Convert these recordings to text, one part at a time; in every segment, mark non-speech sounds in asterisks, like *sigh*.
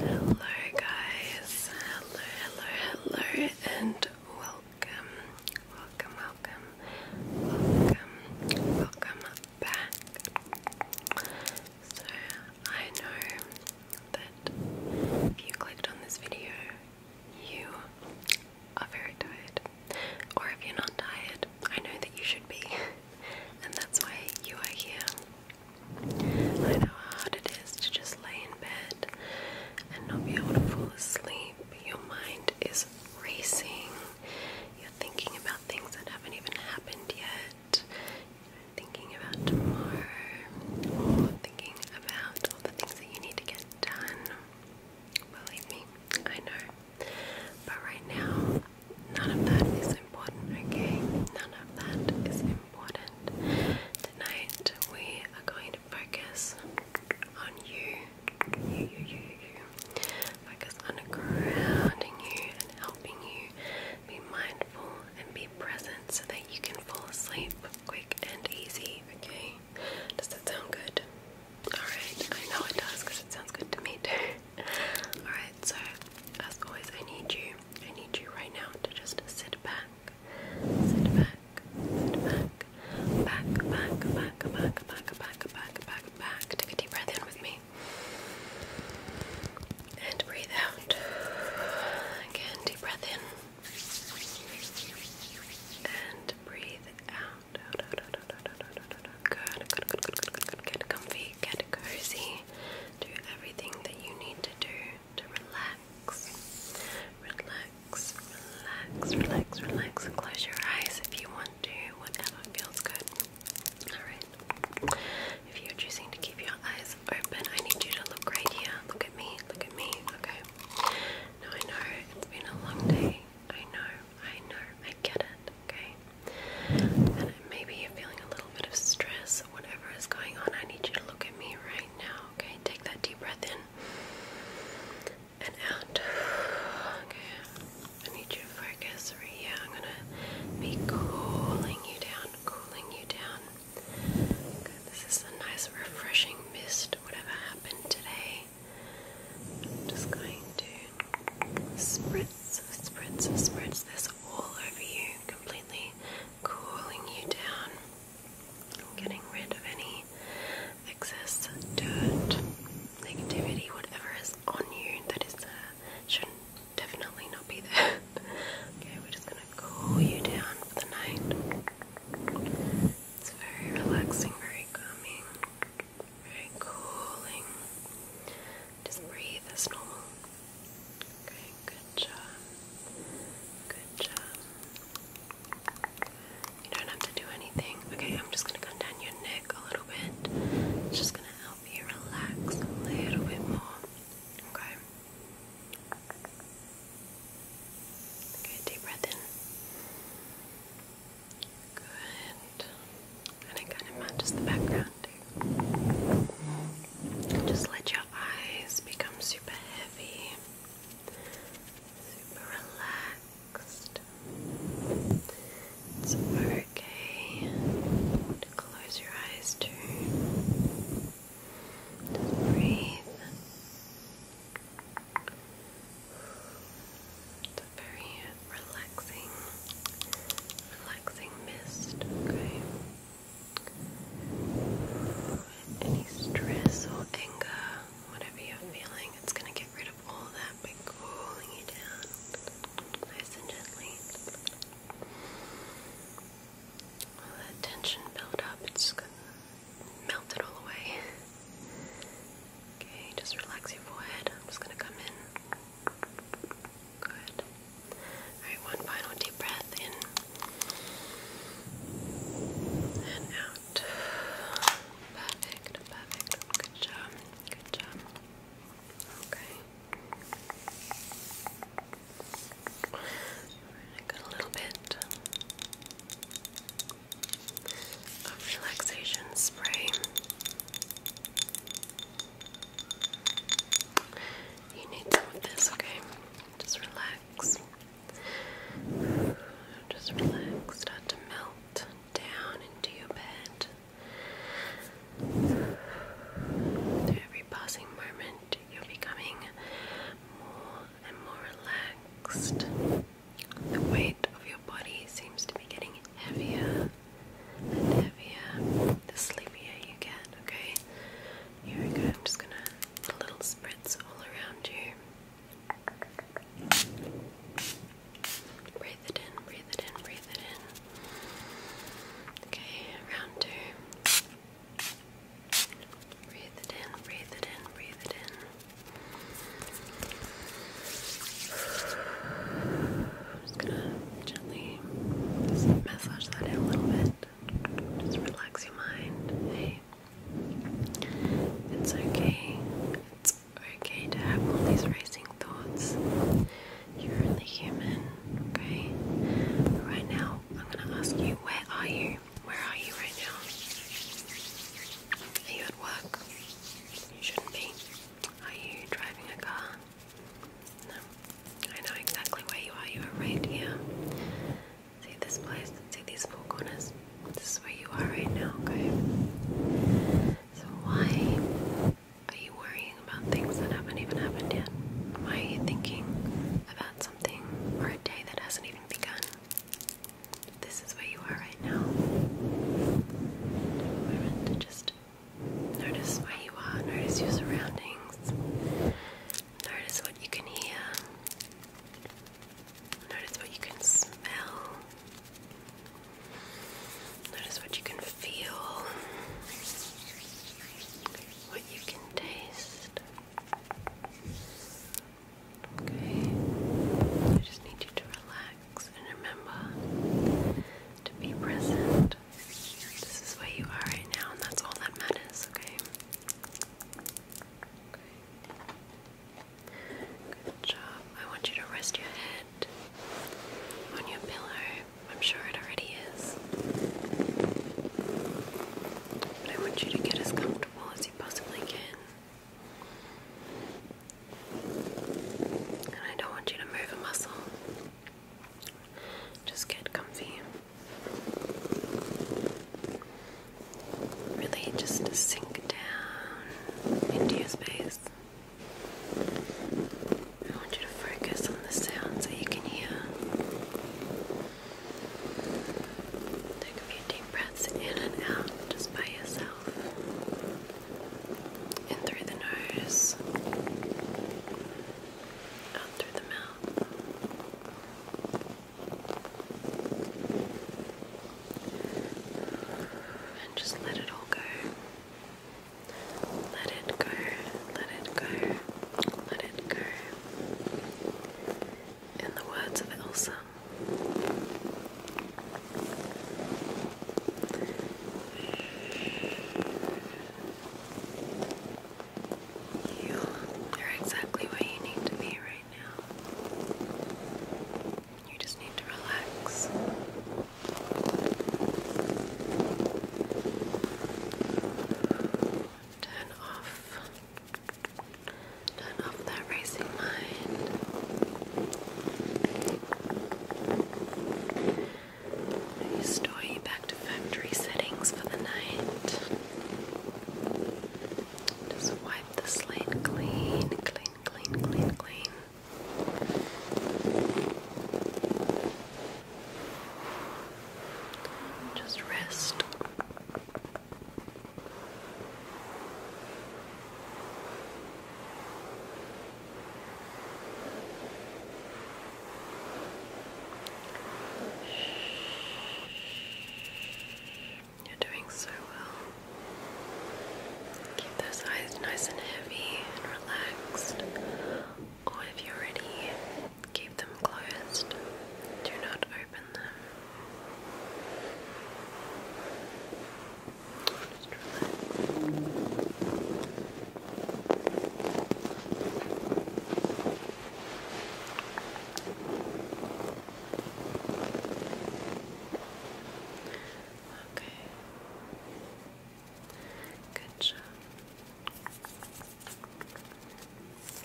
Hello, guys. Hello, hello, hello, and welcome, welcome, welcome, welcome, welcome back. So, I know that if you clicked on this video, you are very tired. Or if you're not tired, I know that you should be. *laughs* and that's why you are here. I know how hard it is to just lay in bed and not be able to fall asleep. Your mind is racing. You're thinking about things that haven't even happened yet. You're thinking about tomorrow or thinking about all the things that you need to get done. Believe me, I know. But right now, none of that is important, okay? None of that is important. Tonight, we are going to focus on you. You, you, you, you. Focus on grounding you and helping you be mindful and be present so that you can fall asleep quick and easy, okay? Does that sound good? Alright, I know it does because it sounds good to me too. *laughs* Alright, so as always, I need you, I need you right now to just sit back, sit back, sit back, back, back, back, back, back, back, back, back, Take a deep breath in with me. And breathe out. Again, deep breath in. And breathe out. Get comfy, get cozy. Do everything that you need to do to relax. Relax, relax, relax, relax. close your eyes if you want to, whatever feels good. Alright. If you're choosing to keep your eyes open, I need you to look right here. Look at me, look at me, okay? I know it's been a long day. I know, I know, I get it, okay? And maybe you're feeling a little bit of stress or whatever is going on. I need you to look at me right now, okay? Take that deep breath in and out. *sighs* Okay. I need you to focus right here. I'm gonna be cooling you down, cooling you down this is a nice refreshing mist, whatever happened today. I'm just going to spritz, spritz, spritz this all over you, completely cooling you down. I'm getting rid of any excess dirt, negativity, whatever is on you that is uh, shouldn't definitely not be there. *laughs* okay, we're just going cool you down for the night. It's very relaxing, very calming, very cooling. Just breathe as normal. Okay, good job. Good job. You don't have to do anything. Okay, I'm just going to come down your neck a little bit. It's just going to help you relax a little bit more. Okay. Okay. deep breath in. Good. And it kind of matches the background too. Just let your eyes become super heavy, super relaxed. okay close your eyes too. Just breathe. It's very relaxing, relaxing mist, okay? Any stress or anger, whatever you're feeling, it's gonna get rid of all that by cooling you down nice and gently that tension built up, it's gonna melt it all away. Okay, just relax your forehead. I'm just gonna come in. Good. Alright, one final deep breath in and out. Perfect, perfect. Good job, good job. Okay. Got a little bit of relaxation spray. You need some of this, okay? Just relax. Just relax. Start to melt down into your bed. every passing moment, you're becoming more and more relaxed. The weight of your body seems to be getting heavier and heavier the sleepier you get, okay? Here we go, I'm just gonna put little spritz all around you. Breathe it in, breathe it in, breathe it in. Okay, round two. Breathe it in, breathe it in, breathe it in. just gonna gently massage that in a little bit. Just relax your mind. Hey, it's okay. It's okay to have all these racing thoughts. You're only human, okay? Right now, I'm going to ask you, where are you? Where are you right now? Are you at work? You shouldn't be. Are you driving a car? No. I know exactly where you are. You are right here. See this place? See these four This is where you are right now, okay? So why are you worrying about things that haven't even happened yet? Why are you thinking about something or a day that hasn't even begun? This is where you are right now. We're meant to just notice where you are, notice your surroundings, notice what you can hear, notice what you can smell, notice what you can feel what you can taste. Okay, I just need you to relax and remember to be present. This is where you are right now, and that's all that matters, okay? Good job. I want you to rest your head on your pillow I'm sure it already is. But I want you to get as comfortable as you possibly can. And I don't want you to move a muscle. Just get comfy. Really just sink down into your space. I want you to focus on the sounds that you can hear. Take a few deep breaths in and out just by yourself. In through the nose, out through the mouth. And just let it all go. Let it go, let it go, let it go. In the words of Elsa, you are exactly where you need to be right now. You just need to relax. Turn off. Turn off that racing mind. Restore you back to factory settings for the night. Just wipe the slate clean, clean, clean, clean, clean. Just rest. You're doing so well. Keep those eyes nice and heavy and relaxed or if you're ready, keep them closed. Do not open them. Okay. Good job.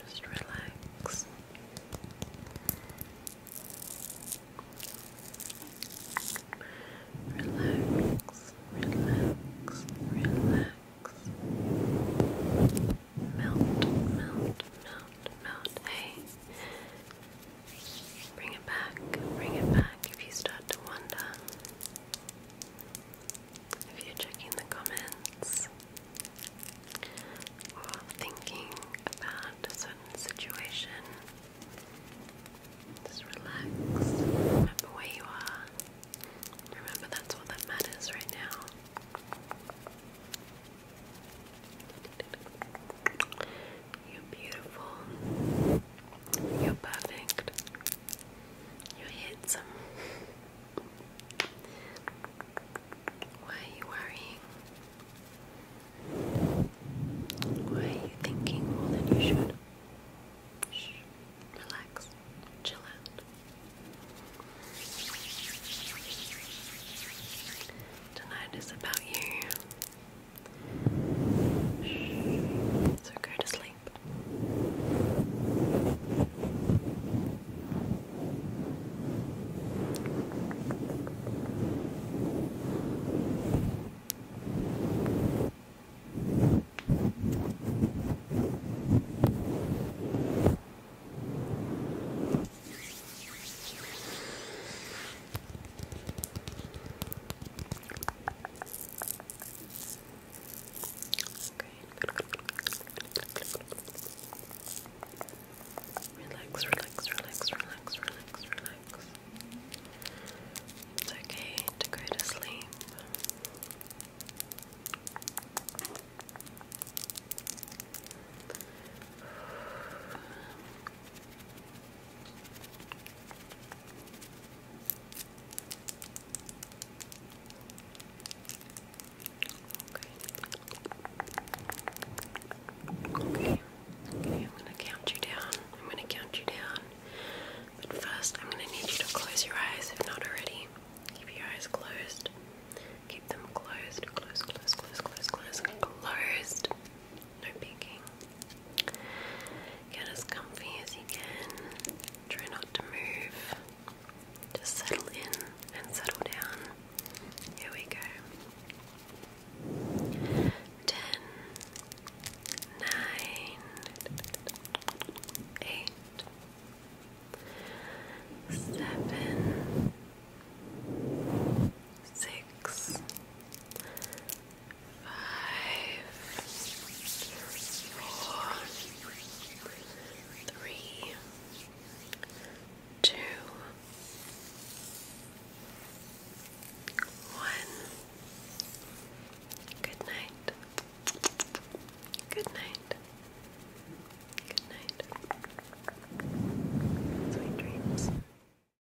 Just relax. Relax, relax, relax. Melt, melt, melt, melt. Hey, bring it back, bring it back if you start to wonder. If you're checking the comments or thinking about a certain situation, just relax. Remember where you are. Remember that's all matters right now. You're beautiful. You're perfect. You're handsome. Why are you worrying? Why are you thinking more than you should? Shh. Relax. Chill out. Tonight is about you. So go to sleep. Relax, relax, relax, relax, relax, relax. It's okay to go to sleep. Okay. Okay, I'm gonna count you down. I'm gonna count you down. But first, I'm gonna need you to close your eyes if not already. Keep your eyes closed. Keep them closed. Close, close, close, close, close, closed no peeking. Get as comfy as you can. Try not to move. Just settle in and settle down. Here we go. Ten, nine, eight, seven, six, five, four, three, two, one. Good night. Good night. Good night. Sweet dreams.